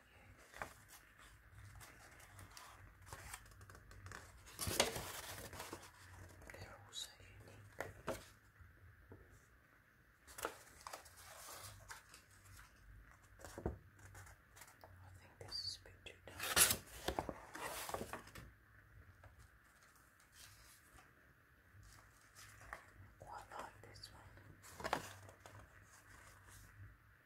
They're all unique. I think this is too dark. Quite like this one.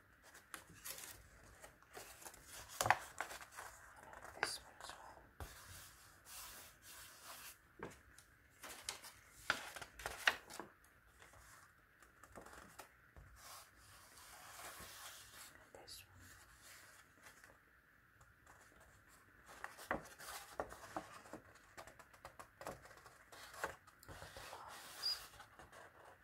And this one as well. And this one. Look at the lines.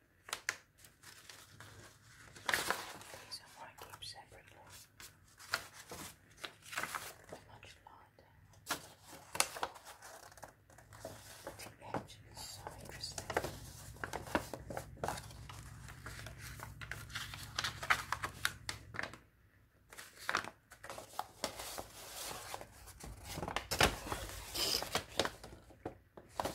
These are I keep separately. they much lighter. The edge is interesting. I'm going to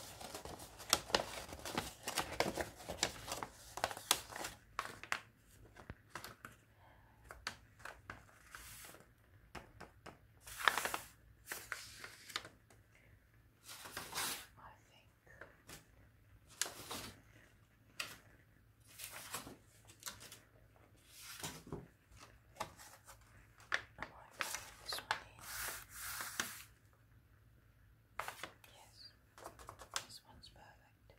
this one Yes, this one's perfect.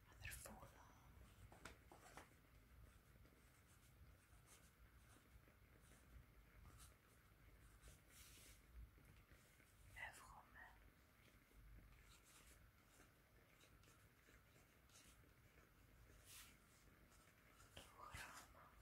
and their forearm. Everyone. Dorama. Of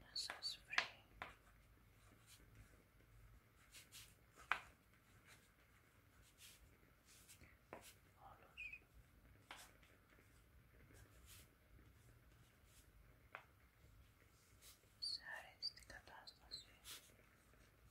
να σας βρει όλους σε αρέστη κατάσταση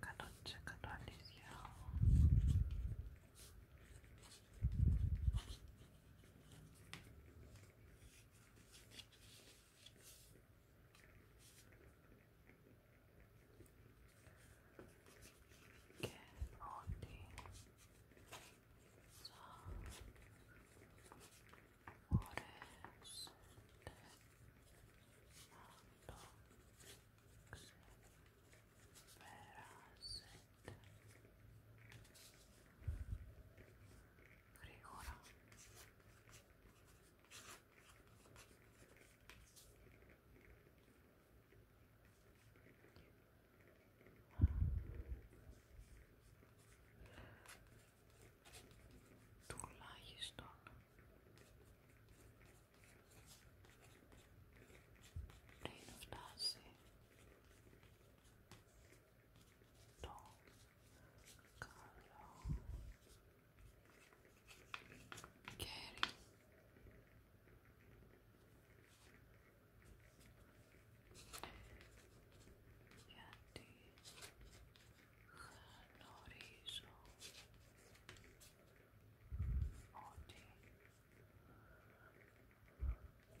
cannot check on this Okay, only so forest alongs περάσετε γρήγορα τουλάχιστον πριν φτάσει το καλό κέρι γιατί γνωρίζω ότι ο κόσμος βασίζεται σε αυτό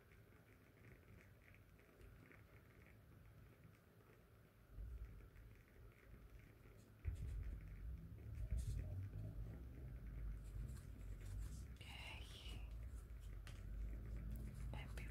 Okay. Everybody in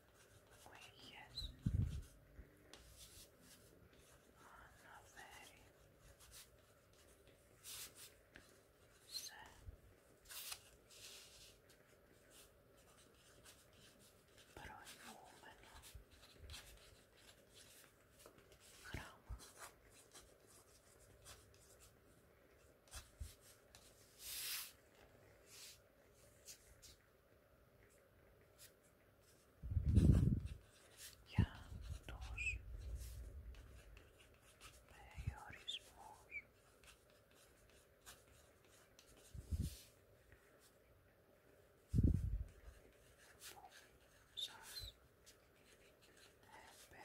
Wages are not very so but I woman Grama Grama για τους περιορισμούς που σας έπαιρνε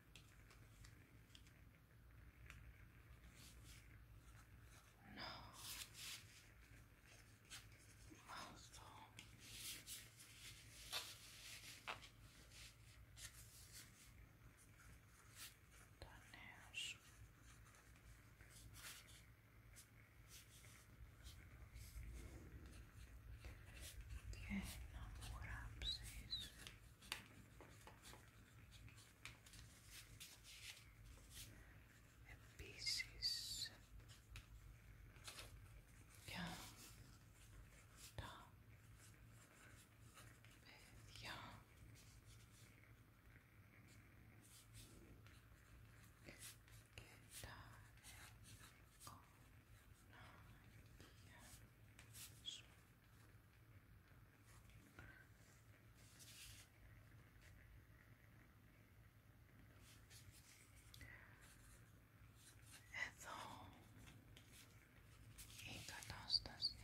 No. Milestone. Dot Nash και να μου γράψεις επίσης για τα παιδιά και τα Oh, no, yes. Εδώ η κατάσταση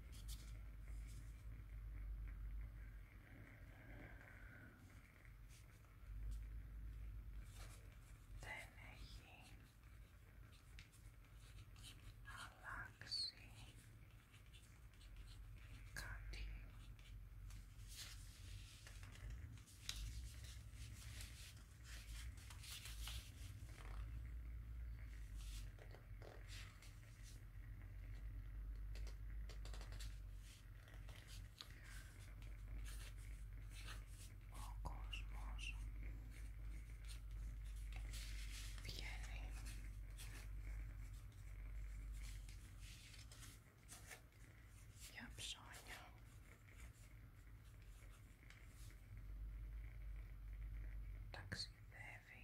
Δεν έχει αλλάξει κάτι. Ο κόσμος βγαίνει για ψώνια ταξιδεύει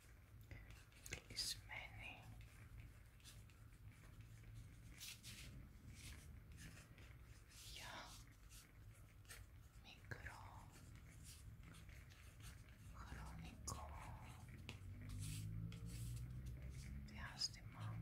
is many. Ja, mikro, chroniko, gwiazdy mam.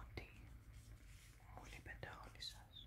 ότι μου λείπετε όλοι σας.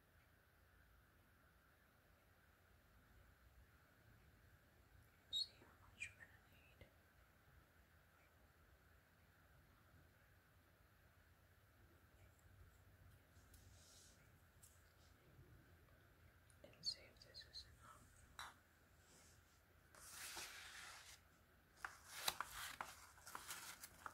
See how much we're going to need. And see if this is enough.